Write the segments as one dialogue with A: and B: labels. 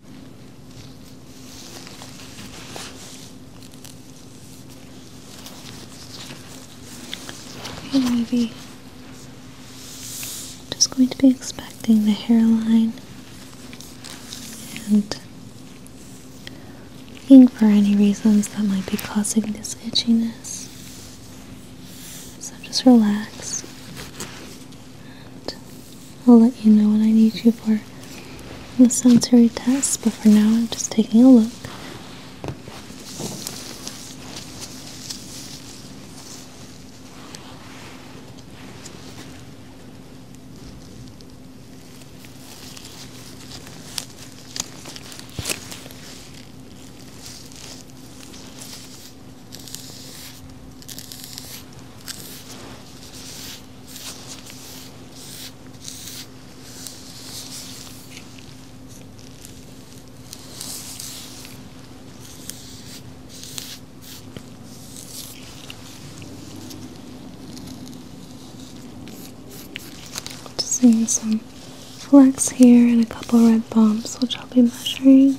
A: Okay, maybe just going to be expecting the hairline and looking for any reasons that might be causing this itchiness. So just relax I'll let you know when I need you for the sensory test, but for now I'm just taking a look. Just seeing some flex here and a couple red bumps, which I'll be measuring.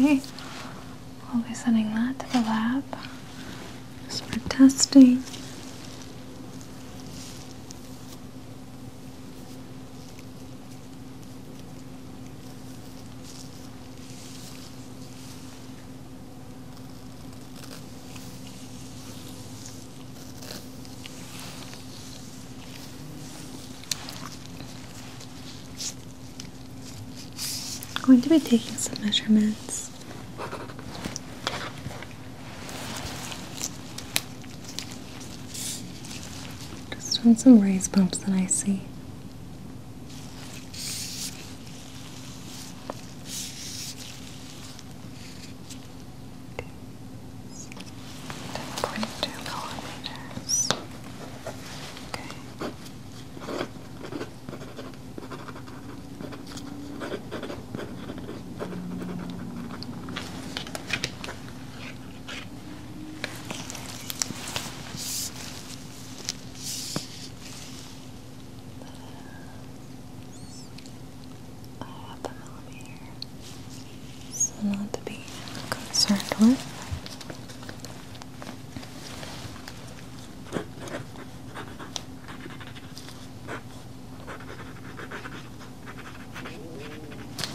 A: Okay, we'll be sending that to the lab just for testing. I'm going to be taking some measurements. Just on some raised bumps that I see.
B: 10.2 millimeters. Okay. I have
A: the millimeter, so not to be concerned with.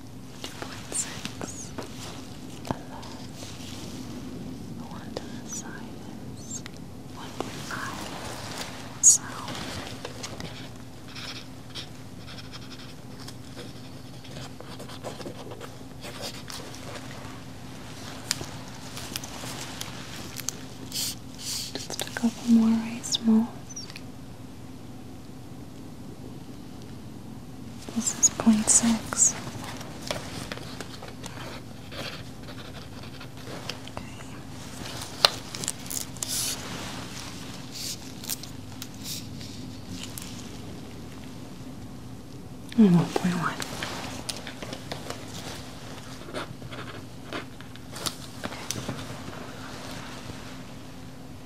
B: 2.6 alert. The one to the side is 1.5 sound.
A: Just a couple more rice molds. This is 0.6
B: Okay. And one point one.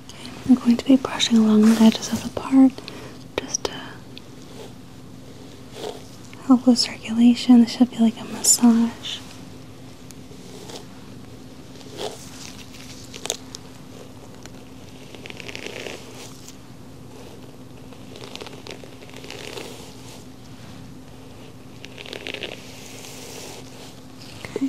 A: Okay, I'm going to be brushing along the edges of the part just to help with circulation. This should be like a massage. Okay.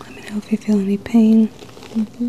A: Let me know if you feel any pain. Mm-hmm.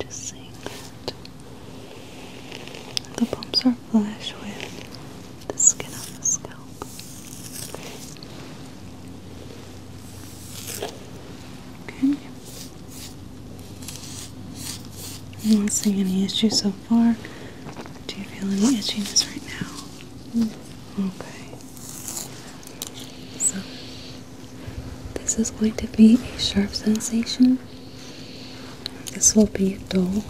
A: Just saying that the bumps are flush with the skin on the scalp. Okay. I'm not seeing any issues so far. Do you feel any itchiness right now? Mm. Okay. So, this is going to be a sharp sensation. This will be dull.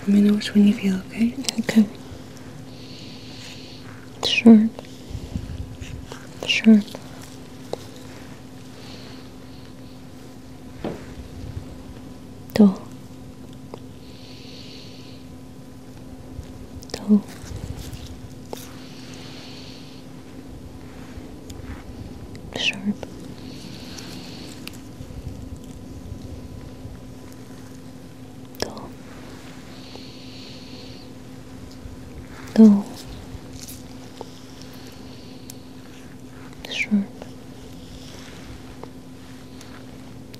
A: Let me know which one you feel, okay? Okay.
B: Sure. Sure. Dull. Dull sharp. Dull. Dull. Sharp.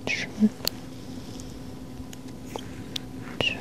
B: Sharp. Sharp.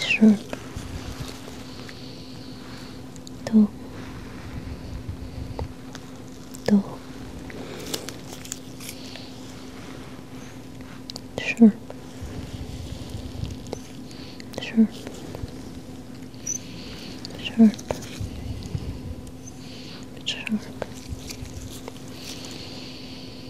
B: sure do do sure sure Sharp, sharp,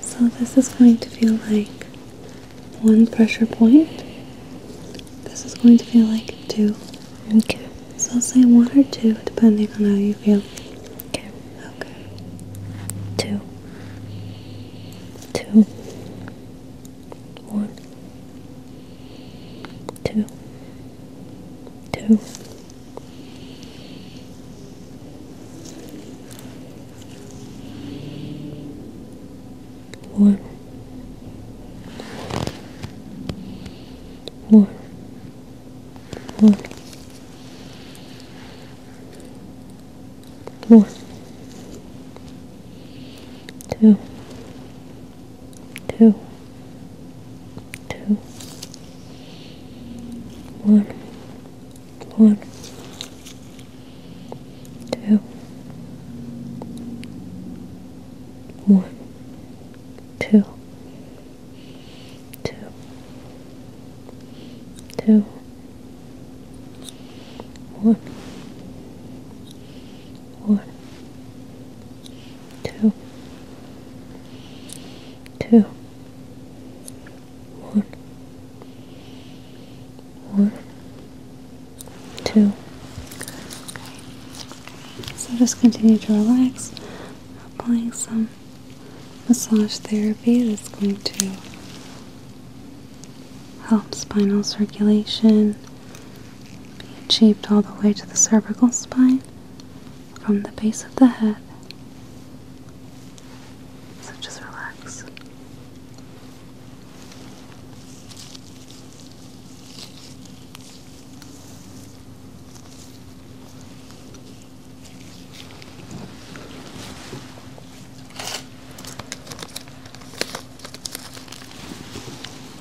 A: So this is going to feel like one pressure point. This is going to feel like two. Okay. So I'll say one or two depending on how you feel. Okay. Okay. Two.
B: Two. One. Two. Two. Warm. Warm. Warm. One, two, two, two, one, one, two, one, two, two, two, one, one, two, two, one,
A: one, two. So just continue to relax, applying some massage therapy that's going to help spinal circulation be achieved all the way to the cervical spine from the base of the head. So just relax.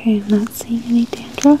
A: Okay, I'm not seeing any dandruff.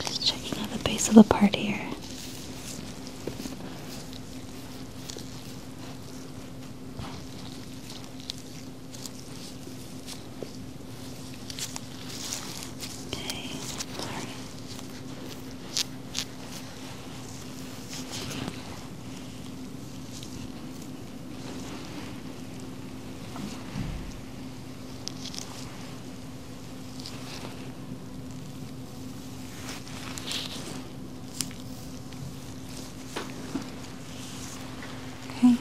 A: Just checking out the base of the part here. Okay, Okay,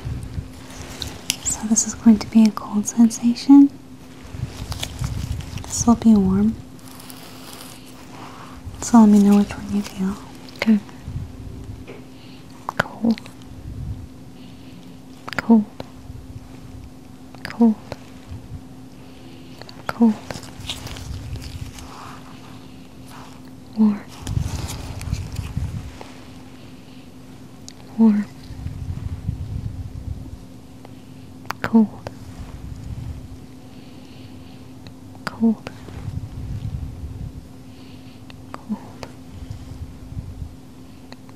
A: so this is going to be a cold sensation. This will be warm. So let me know which one you feel. Okay cold, cold,
B: cold, cold, warm, warm, cold, cold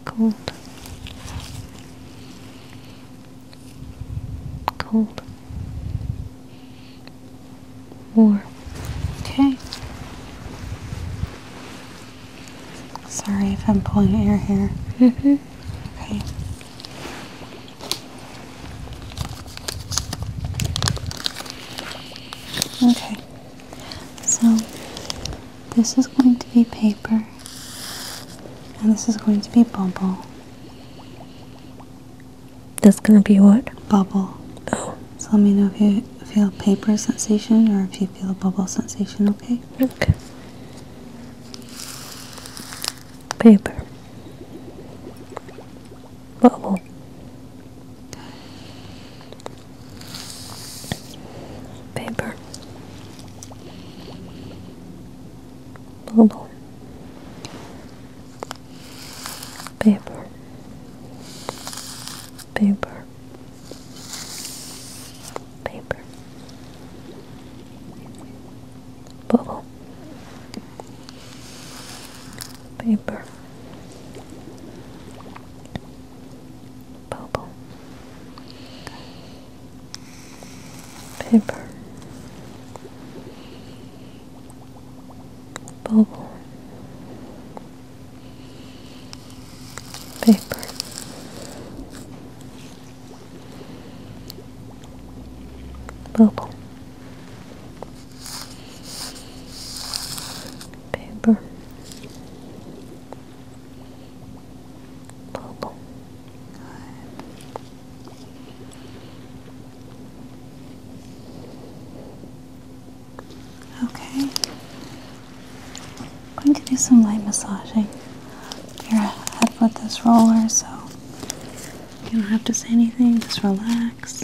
B: cold, cold, cold,
A: warm. Okay. Sorry if I'm pulling your hair. -hmm. Okay. Okay. So this is going to be paper and this is going to be bubble. That's gonna be what? Bubble. Oh. So let me know if you feel paper sensation or if you feel bubble sensation, okay? Okay. Paper bubble. Paper. Bubble. Paper. Paper.
B: Paper. Bubble paper bubble paper bubble paper bubble paper, bubble.
A: Okay. I'm going to do some light massaging You're your head with this roller so you don't have to say anything, just relax.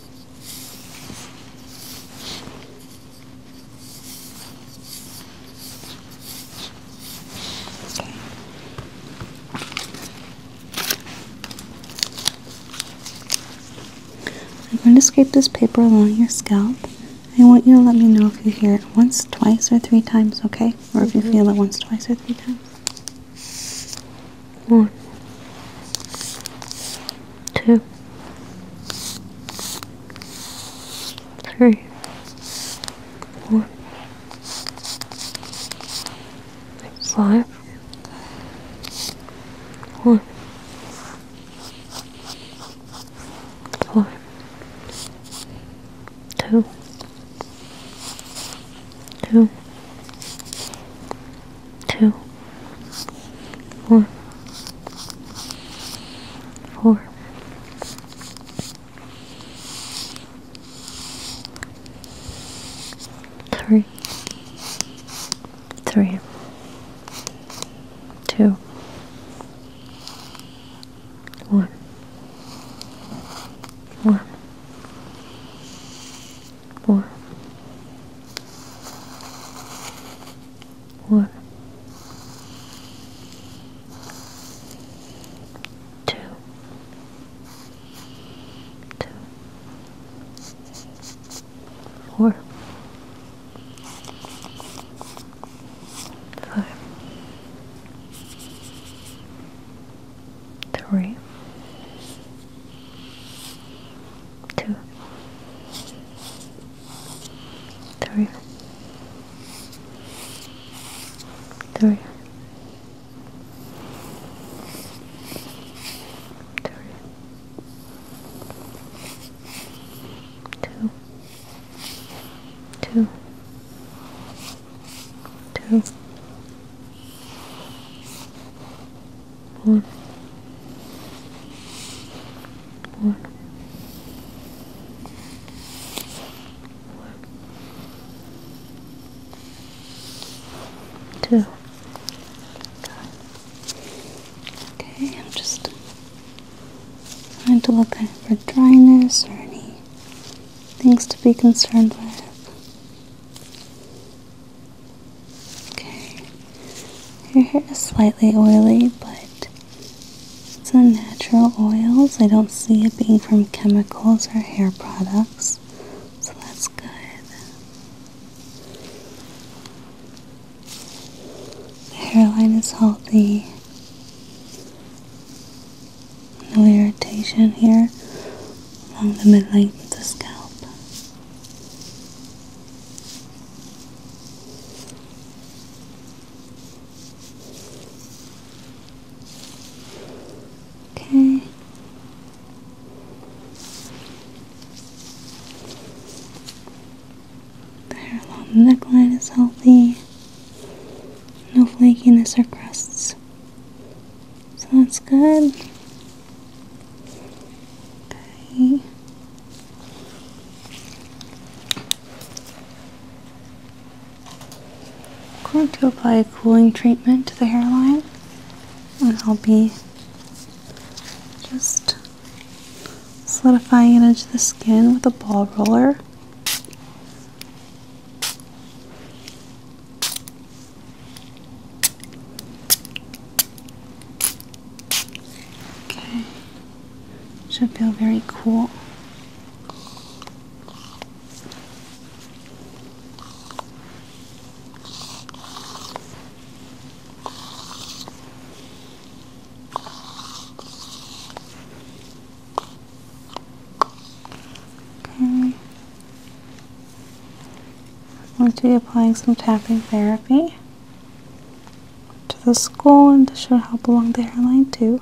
A: Okay. I'm going to scrape this paper along your scalp. I want you to let me know if you hear it once, twice, or three times, okay? Or if you mm-hmm. feel it once, twice, or three times one, two,
B: three, four, five, one, five, two, two, two, four, four, three, three, two, one, one four, one, two, two, four, five three, two, three, three. Three, two, two, two, one. One. One.
A: Two. Okay, I'm just trying to look for dryness or any things to be concerned with. Okay. Your hair is slightly oily, but it's natural oils. I don't see it being from chemicals or hair products, so that's good. The hairline is healthy. No irritation here along the midlength of the scalp. Okay. The hair along the neckline is healthy. No flakiness or crusts. So that's good. Okay. I'm going to apply a cooling treatment to the hairline, and I'll be just solidifying it into the skin with a ball roller. Okay. Should feel very cool. Okay. I'm going to be applying some tapping therapy to the skull and this should help along the hairline too.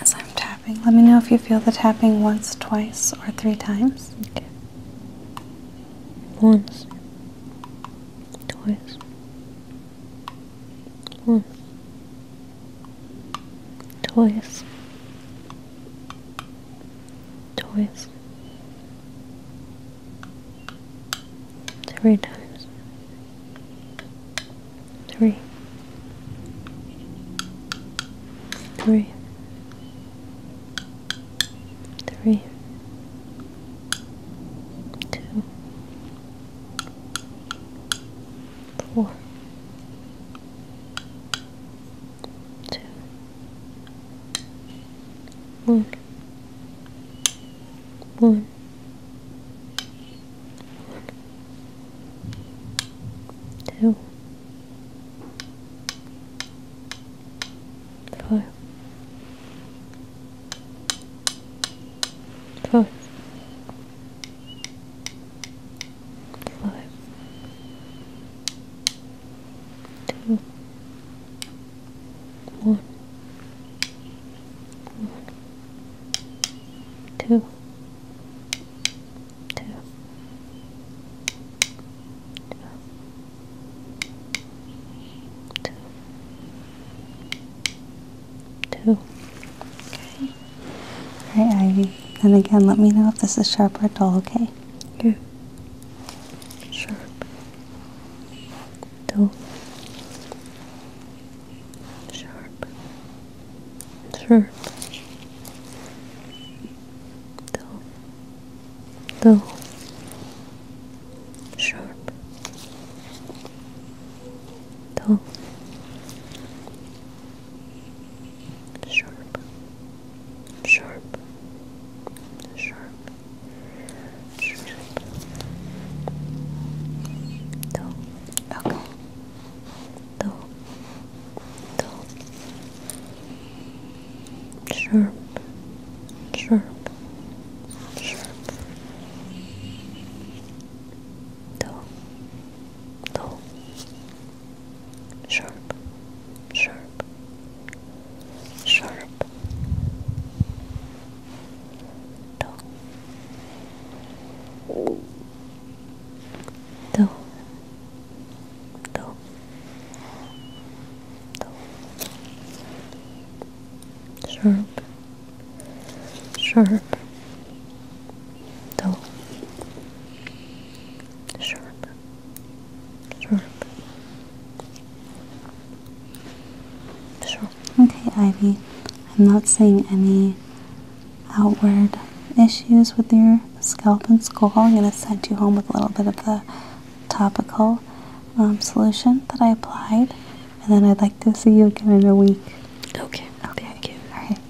A: as I'm tapping. Let me know if you feel the tapping once, twice, or three times. Okay. Once, twice, once,
B: twice, twice, three times three, three, three, two, four, two, one, one two, four, four, four, two, one two, two,
A: two, two. Okay. Ivy. And again, let me know if this is sharp or dull. Okay. Yeah. Sharp. Dull
B: sharp, sharp, dull, dull, sharp, dull, sharp, sharp, sharp. Sharp. Dull. Okay dull, dull, sharp, sharp, sharp, dull, dull, sharp, sharp, sharp, do, do, do, do, sharp, sharp, do,
A: sharp, sharp. Sharp, Okay, Ivy, I'm not seeing any outward issues with your scalp and skull. I'm going to send you home with a little bit of the topical um, solution that I applied, and then I'd like to see you again in a week. Okay, okay, thank